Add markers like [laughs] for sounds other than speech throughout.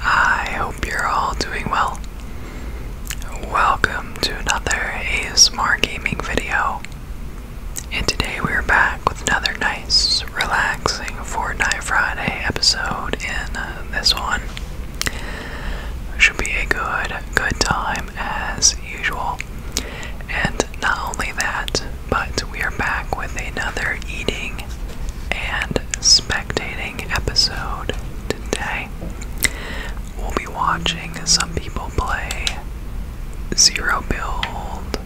I hope you're all doing well. Welcome to another ASMR Gaming video. And today we're back with another nice, relaxing Fortnite Friday episode in uh, this one. Should be a good, good time as usual. And not only that, but we are back with another eating and spectating episode today. We'll be watching some people play Zero Build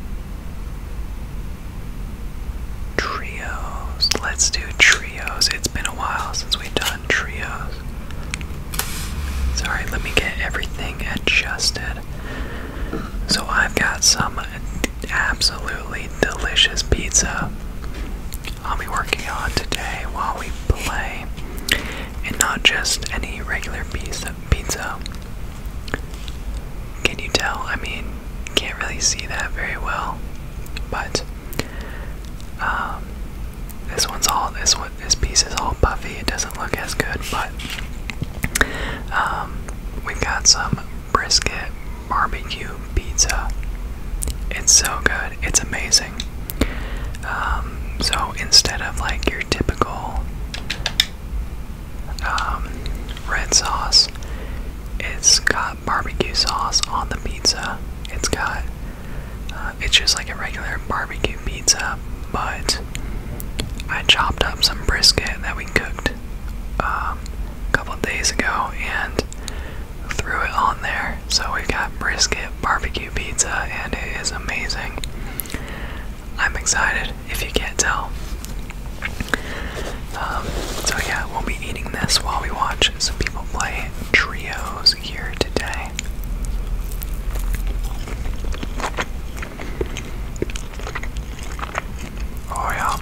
Trios. Let's do trios. It's been a while since we've done trios. Sorry, let me get everything adjusted. So I've got some absolutely delicious pizza I'll be working on today while we play, and not just any regular piece of pizza. Can you tell? I mean, can't really see that very well, but um, this one's all this one this piece is all puffy. It doesn't look as good, but um, we've got some brisket barbecue pizza. It's so good. It's amazing. Um, so instead of like your typical um, red sauce, it's got barbecue sauce on the pizza. It's got, uh, it's just like a regular barbecue pizza, but I chopped up some brisket that we cooked um, a couple days ago and threw it on there. So we've got brisket barbecue pizza, and it is amazing. I'm excited if you can't tell. Um, so, yeah, we'll be eating this while we watch some people play trios here today. Oh, yeah.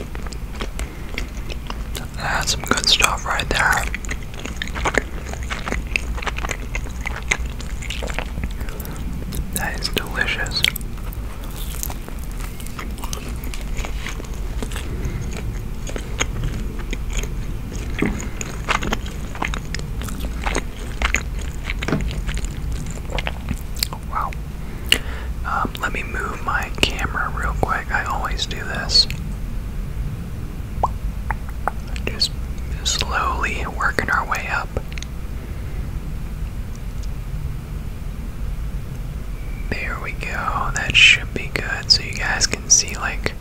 That's some good stuff right there. That is delicious. Wow. Um, let me move my camera real quick. I always do this. Just slowly working our way up. There we go. That should be good so you guys can see like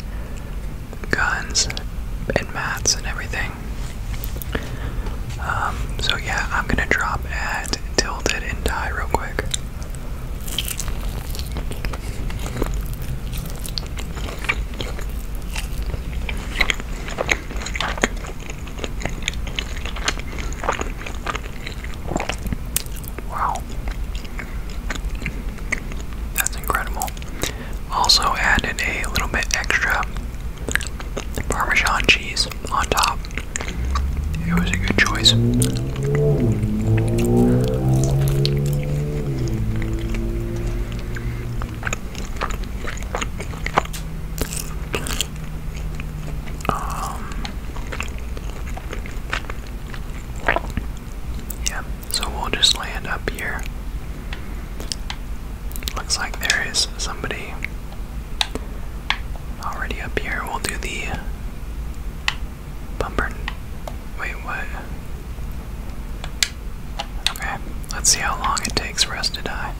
guns and mats and everything. Um, so yeah, I'm gonna drop at Tilted and Die real quick. Wow. That's incredible. Also added a little bit extra Parmesan cheese on top. It was a good choice. Um, yeah, so we'll just land up here. Looks like there is somebody already up here. We'll do the Bumper. Wait, what? Okay, let's see how long it takes for us to die.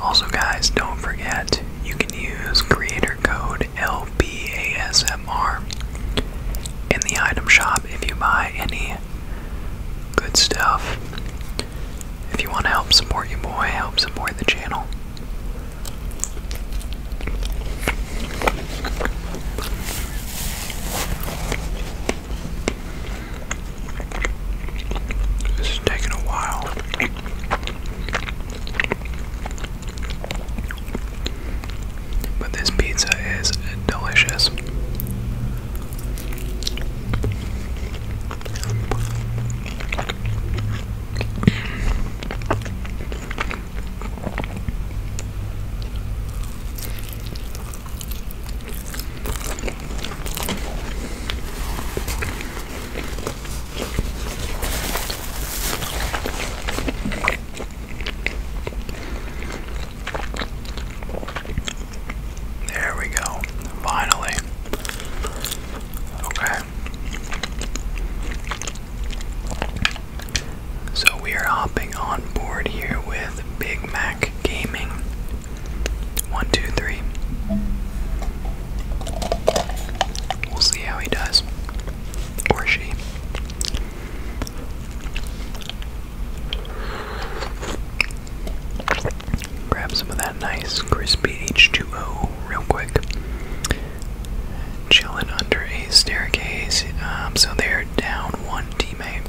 Also, guys, don't forget you can use creator code LPASL them in the item shop if you buy any good stuff. If you want to help support your boy, help support the channel. This is taking a while. But this pizza is delicious. There we go. Finally. Okay. So we are hopping on board here with Big Mac Gaming. One, two, three. We'll see how he does. Or she. Grab some of that nice crispy H2O real quick. Chilling under a staircase. Um, so they're down one teammate.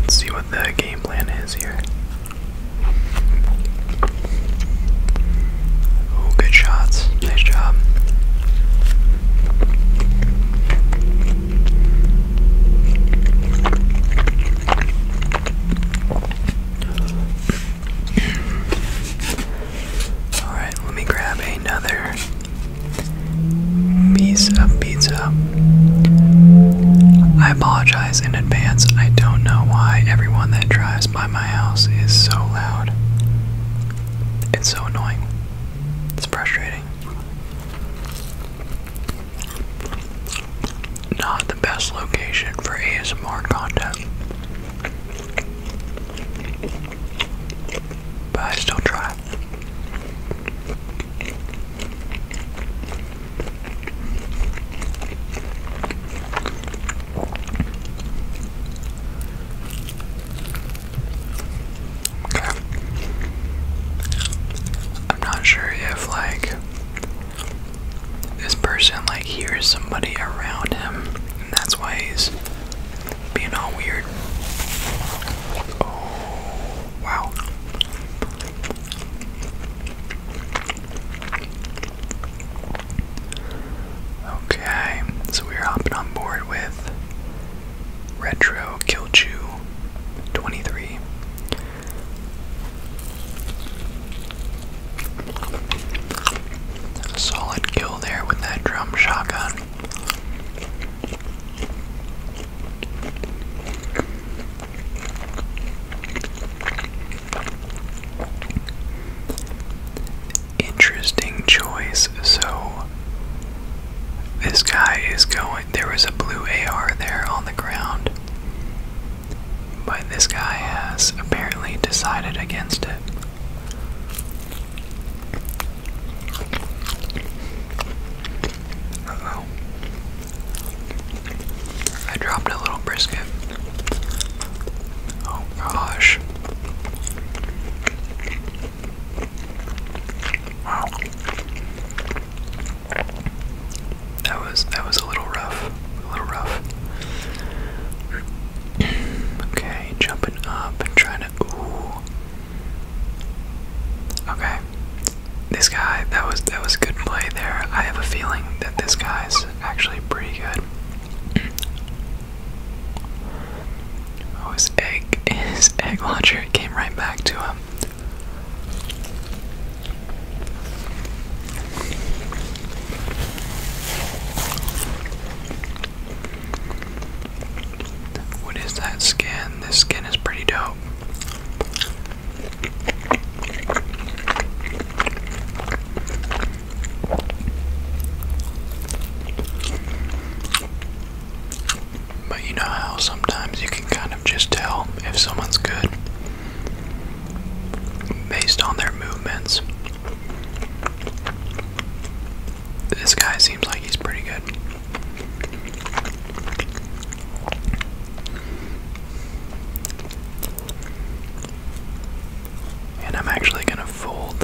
Let's see what the game plan is here. Oh, good shots. Nice job. All right, let me grab another Pizza, pizza. I apologize in advance. I don't know why everyone that drives by my house is so loud. It's so annoying. It's frustrating. Not the best location for ASMR content. But I still try. Okay. I'm not sure if like this person like hears somebody around him and that's why he's being all weird. Oh, wow. Okay, so we're hopping on board with Retro Kilchu 23. solid kill there with that drum shotgun. Interesting choice. So, this guy is going. There was a blue AR there on the ground, but this guy has apparently decided against it. Uh oh. I dropped a little brisket. Oh gosh. Wow. That was that was a little rough. A little rough. [clears throat] okay, jumping up and trying to Okay. This guy, that was that was good play there. I have a feeling that this guy's actually pretty good. Oh, his egg, [laughs] his egg launcher came right back to him. What is that skin? This skin is pretty dope. But you know how sometimes you can kind of just tell if someone's good based on their movements. This guy seems like he's pretty good. And I'm actually going to fold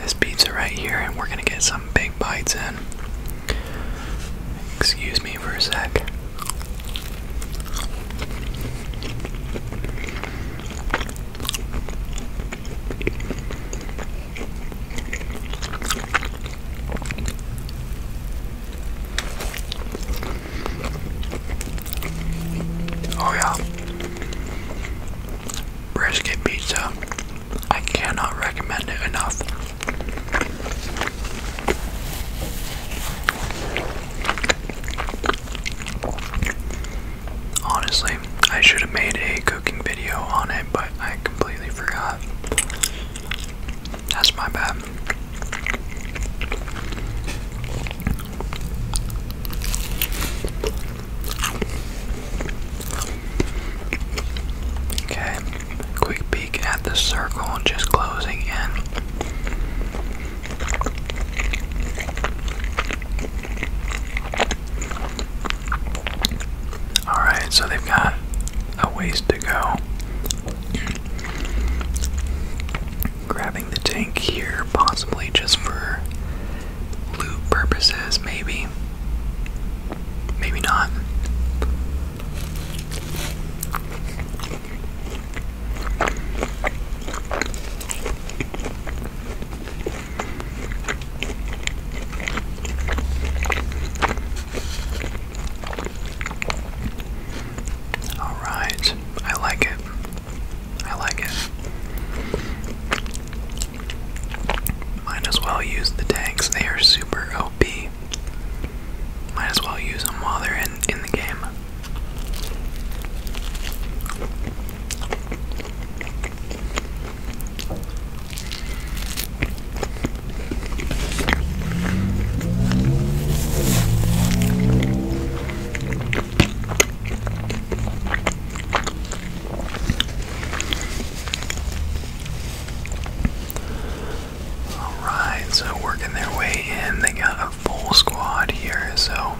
this pizza right here and we're going to get some big bites in. Excuse me for a sec. Oh, yeah. Brisket pizza. I cannot recommend it enough. Honestly, I should have made a cooking video on it, but I completely forgot. That's my bad. Okay, quick peek at the circle, just closing in. Alright, so they've got a ways to go. Grabbing the tank here, possibly just for loot purposes, maybe. Maybe not. All right, I like it. I like it. Might as well use the tanks, they are super OP. Might as well use them while they're in, in the game. Alright, so working their way in, they got a full squad here, so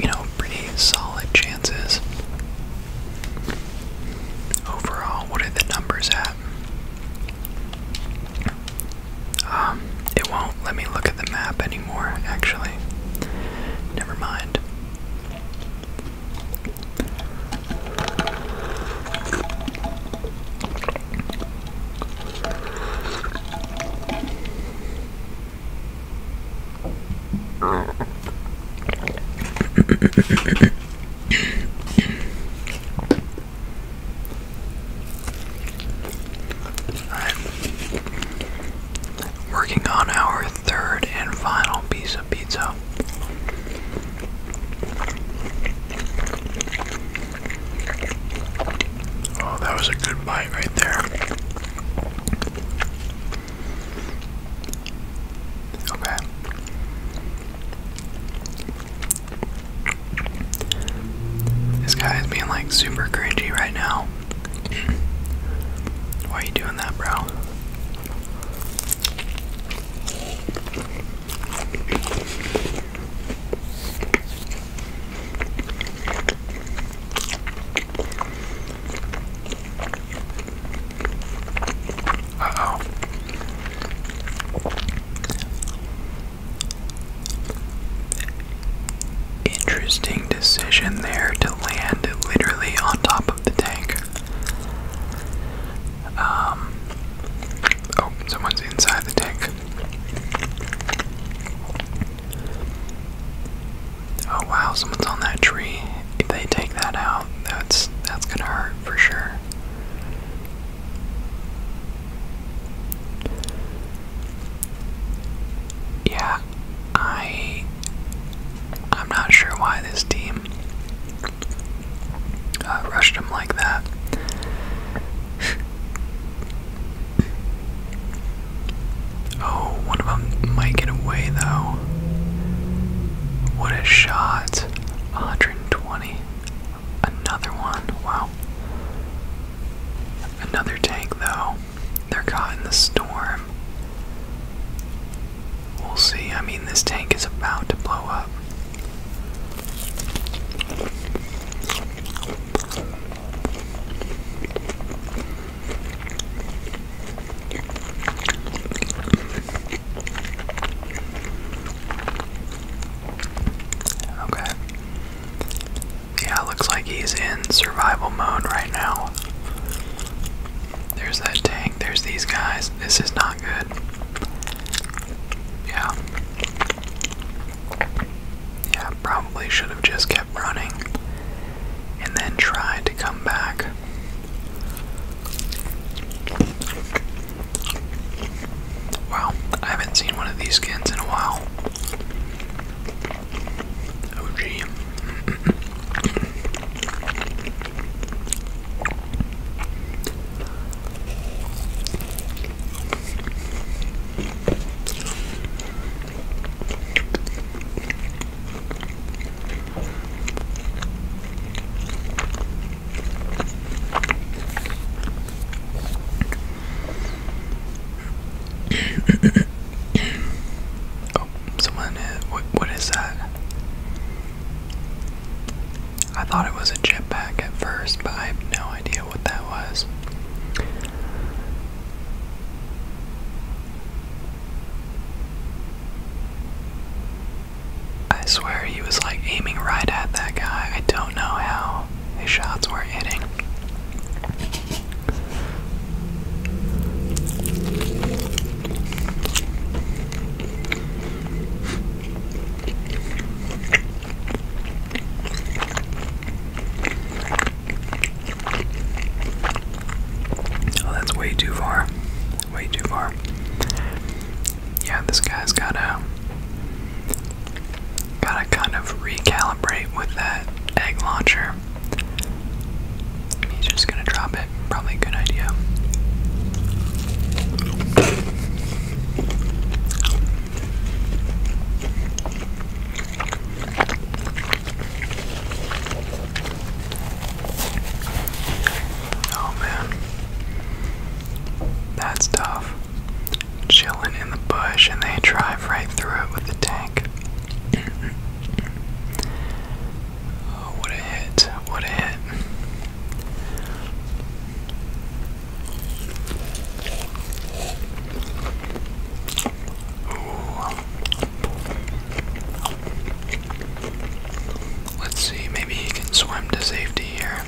you know, pretty solid chances. Overall, what are the numbers at? Um, it won't let me look at the map anymore, actually. Never mind. Alright. Working on our third and final piece of pizza. Oh, that was a good bite right there. Okay. This guy is being like super cringy right now. [clears throat] Why are you doing that, bro? Interesting decision there to land literally on top of the tank. Um, oh, someone's inside the tank. Oh wow, someone's on that tree. If they take that out, that's that's gonna hurt for sure. Yeah, I I'm not sure why this team uh, rushed him like that. Oh, one of them might get away though. What a shot. 120. Another one. Wow. Another tank though. They're caught in the storm. We'll see. I mean, this tank is about to blow up. Okay. Yeah, looks like he's in survival mode right now. There's that tank, there's these guys. This is not good. Yeah. Yeah, probably should have just kept running and then tried to come back. Wow, I haven't seen one of these skins in a while. Oh, oh, someone uh, what is that? I thought it was a jetpack at first, but I have no idea what that was. I swear he was like aiming right at that guy. I don't know how his shots were hitting. Oh, that's way too far. Way too far. Yeah, this guy's gotta gotta kind of recalibrate with that egg launcher. He's just gonna drop it. Probably a good idea. Oh man. That's tough. Chilling in the bush and they drive right through it with the tank. oh, what a hit. What a hit. Let's see, maybe he can swim to safety here.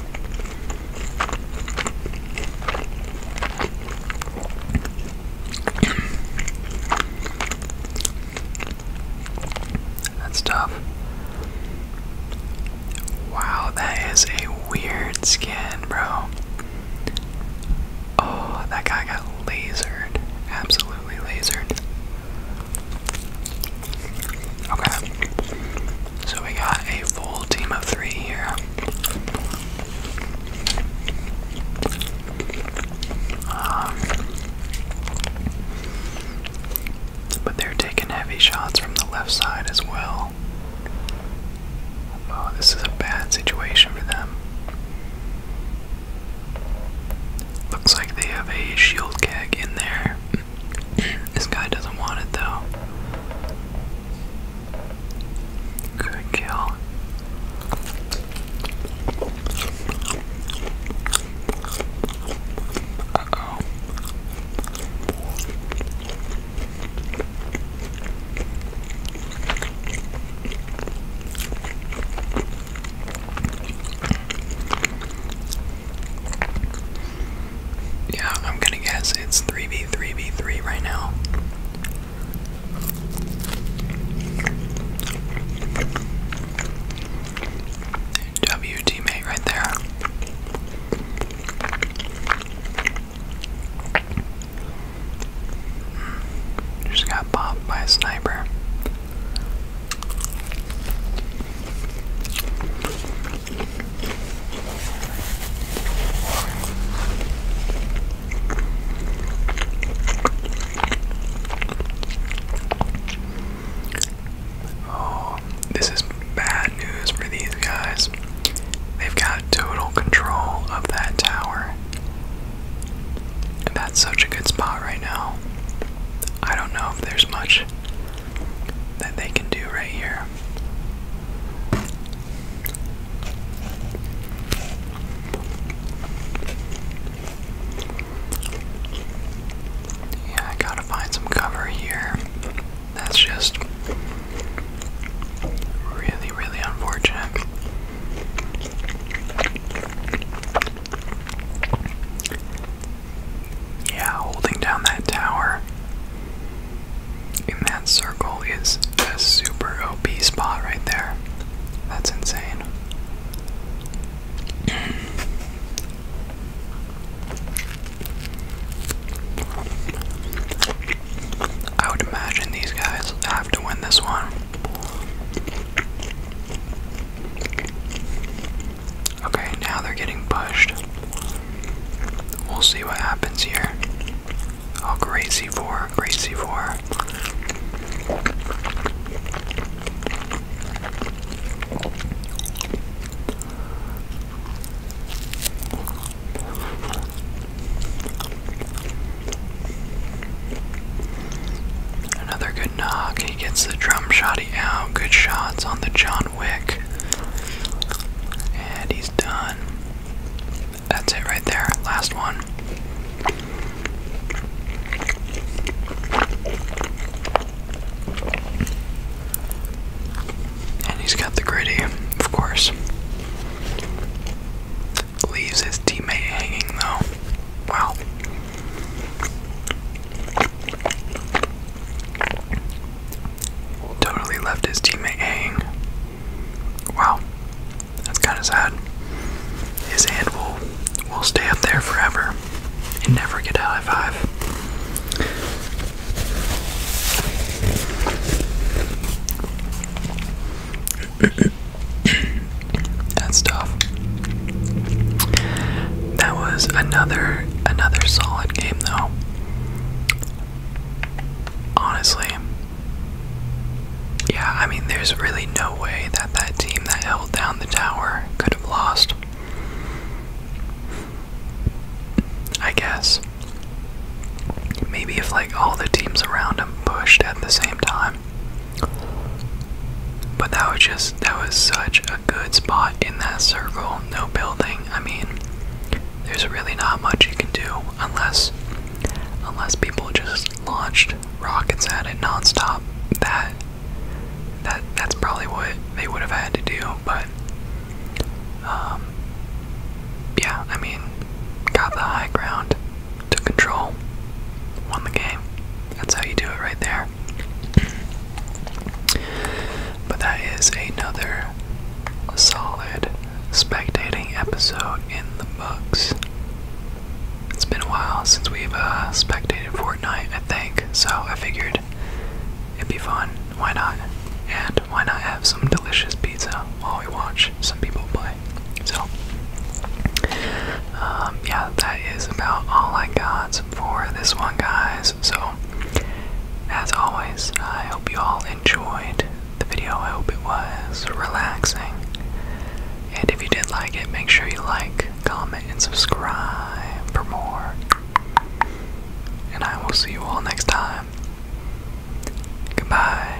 That's tough. Wow, that is a weird skin, bro. Oh, that guy got lasered, absolutely lasered. Okay, so we got a full team of three here. Um, but they're taking heavy shots from the left side as well. Oh, this is a bad situation for them. Looks like they have a shield gag in there. [clears throat] this guy doesn't want it though. Good kill. Uh oh. Yeah, I'm gonna guess it's 3v3v3 right now. W right there. Just got bopped by a sniper. Oh, this is bad news for these guys. They've got total control of that tower. That's such a good spot right now. I don't know if there's much that they can do right here. Yeah, I gotta find some cover here. That's just really, really unfortunate. Yeah, holding down that tower in that circle is a super OP spot right there. That's insane. I would imagine these guys have to win this one. Okay, now they're getting pushed. We'll see what happens here. Oh, great C4, great C4. Another good knock. He gets the drum shotty out. Good shots on the John Wick. And he's done. That's it right there. Last one. And he's got the gritty, of course leaves his teammate hanging though. Wow. Totally left his teammate hanging. Wow. That's kinda sad. His hand will will stay up there forever and never get a high five and stuff. That was another another solid game though. Honestly. Yeah, I mean there's really no way that that team that held down the tower could have lost. I guess. Maybe if like all the teams around them pushed at the same time. But that was just, that was such a good spot in that circle. No building. I mean, there's really not much you can do unless, unless people just launched rockets at it nonstop. That, that, that's probably what they would have had to do. But, um, yeah, I mean, got the high ground took control, won the game. That's how you do it right there. But that is another solid spectating episode in the books. It's been a while since we've uh, spectated Fortnite, I think, so I figured it'd be fun. Why not? And why not have some delicious pizza while we watch some people play? So, um, yeah, that is about all I got for this one, guys. So, as always, I hope you all enjoyed the video. I hope it was relaxing. And if you did like it, make sure you like, comment, and subscribe for more. And I will see you all next time. Goodbye.